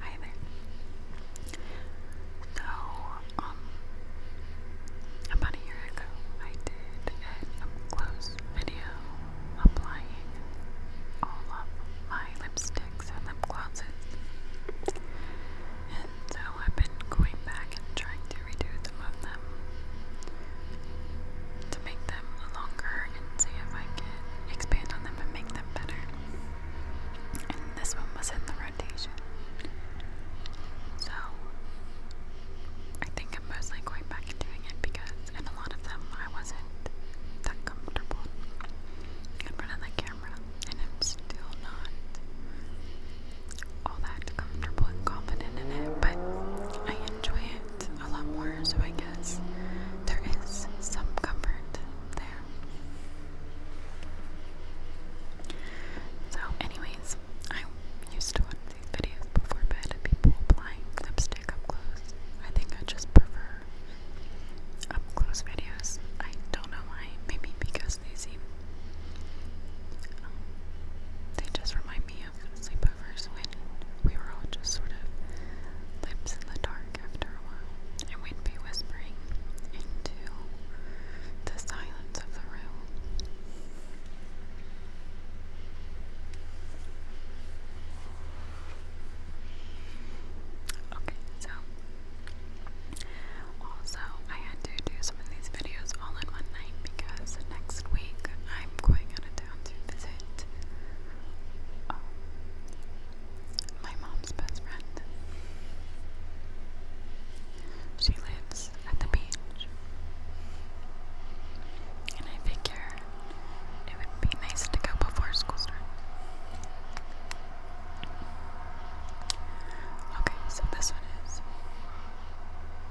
Hi there. So, um, about a year ago, I did an close video applying all of my lipsticks and lip glosses. And so I've been going back and trying to redo some of them to make them longer and see if I could expand on them and make them better. And this one was in the rotation. So I think I'm mostly going back and doing it because in a lot of them I wasn't that comfortable in front of the camera and I'm still not all that comfortable and confident in it, but I enjoy it a lot more, so I guess there is some comfort there. So, anyways, I used to watch these videos before bed of people applying lipstick up close. I think I just prefer up close videos. I don't know why. Maybe because they seem. Um, they just remind me sleepovers when we were all just sort of lips in the dark after a while, and we'd be whispering into the silence of the room. Okay, so also I had to do some of these videos all in one night because next week I'm going out of town to visit um, my mom's best friend. She lives at the beach. And I figure it would be nice to go before school starts. Okay, so this one is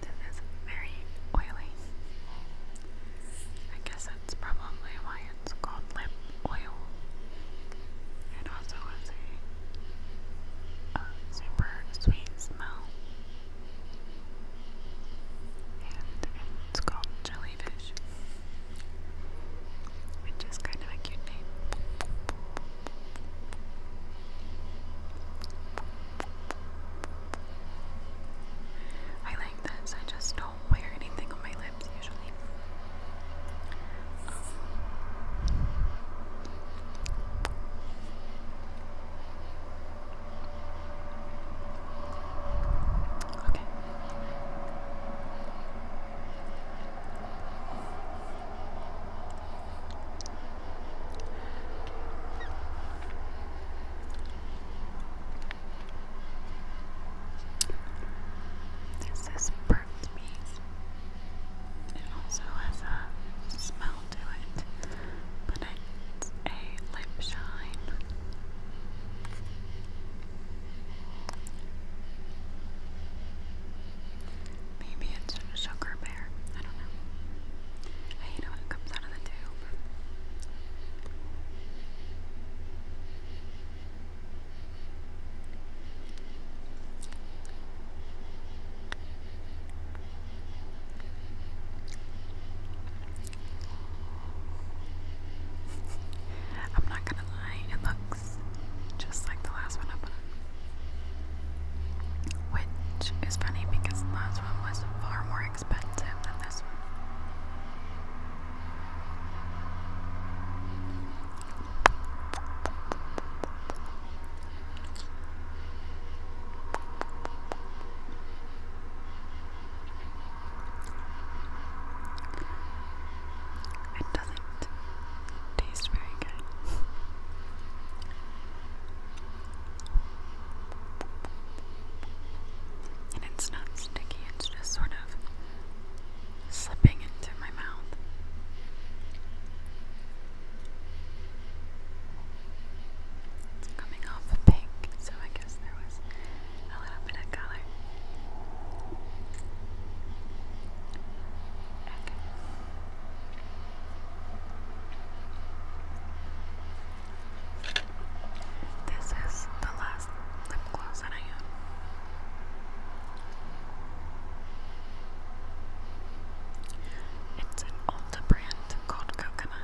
This very oily. I guess that's probably why it's called lip oil. It also has a super sweet smell. And it's called jellyfish. Which is kind of a cute name. I like this, I just don't wear anything on my lips usually. Okay. This is burnt beef. It also has a smell to it, but it's a lip shine. Maybe it's a sugar bear. I don't know. I hate how it comes out of the tube. I'm not gonna lie, it looks just like the last one I put Which is funny because the last one was far more expensive than this one. It doesn't taste very good. And it's not sticky, it's just sort of slipping into my mouth. It's coming off pink, so I guess there a little bit of color. Okay. This is the last lip gloss that I own. It's an Ulta brand cold coconut.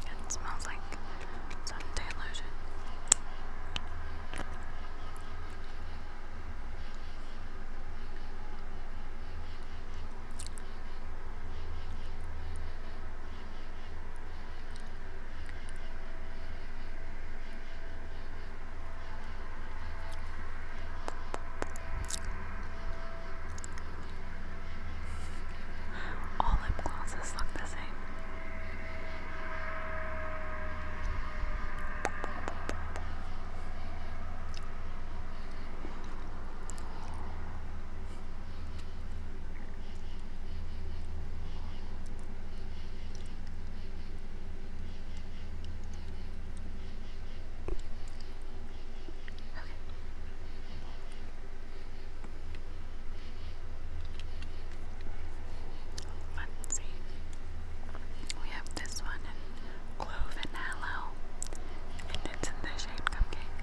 It smells like suntan lotion. All lip glosses look the same. Let's We have this one in clove and it's in the shade cupcake.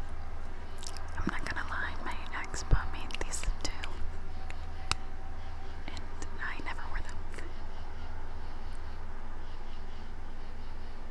I'm not gonna lie, my ex bought me these two, and I never wore them.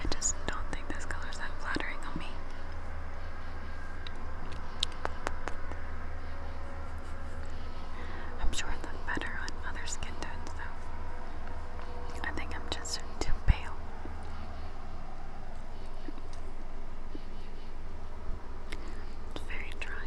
I just don't think this color's that flattering on me. I'm sure I look better on other skin tones though. I think I'm just too pale. very trying.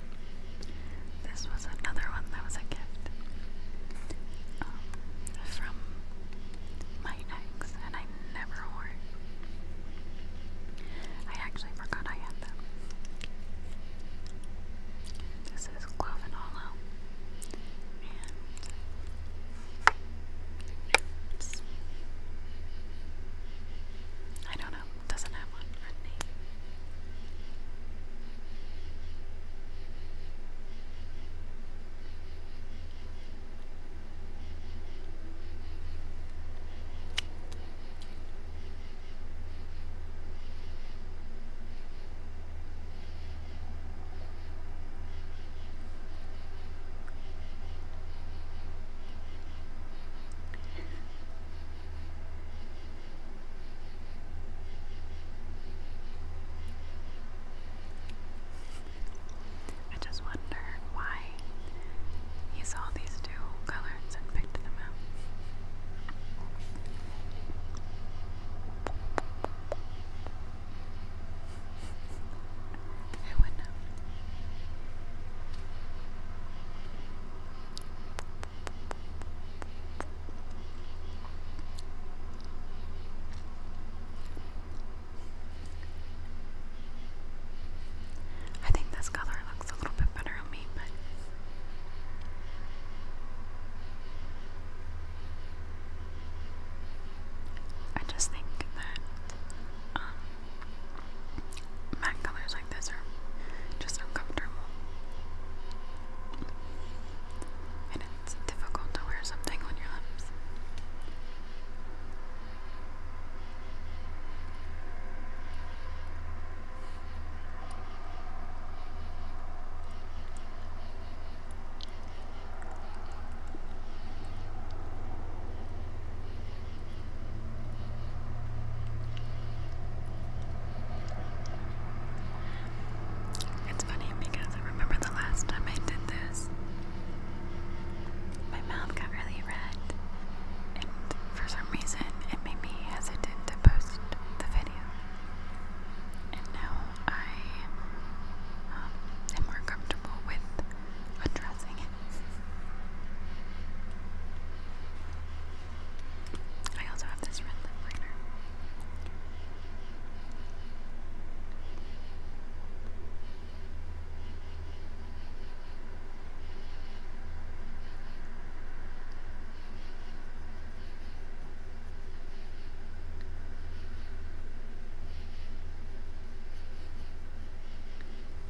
This was another one that was a gift um, from my ex, and I never wore I actually forgot I had them. This is Cloven I don't Tiana doesn't have one, a I just wonder why he saw these two colors and picked them out. Who would know? I think this color looks a little bit better on me, but I just think that um, matte colors like this are just uncomfortable. And it's difficult to wear something on your lips. It's funny because remember the last time I did this, my mouth got really red, and for some reason it made me hesitant to post the video. And now I um, am more comfortable with addressing I also have this red lip liner.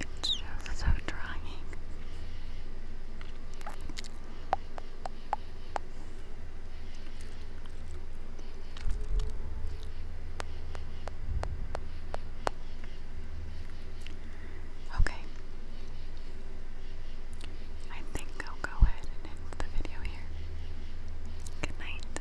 It's just so drying. Okay. I think I'll go ahead and end the video here. Good night.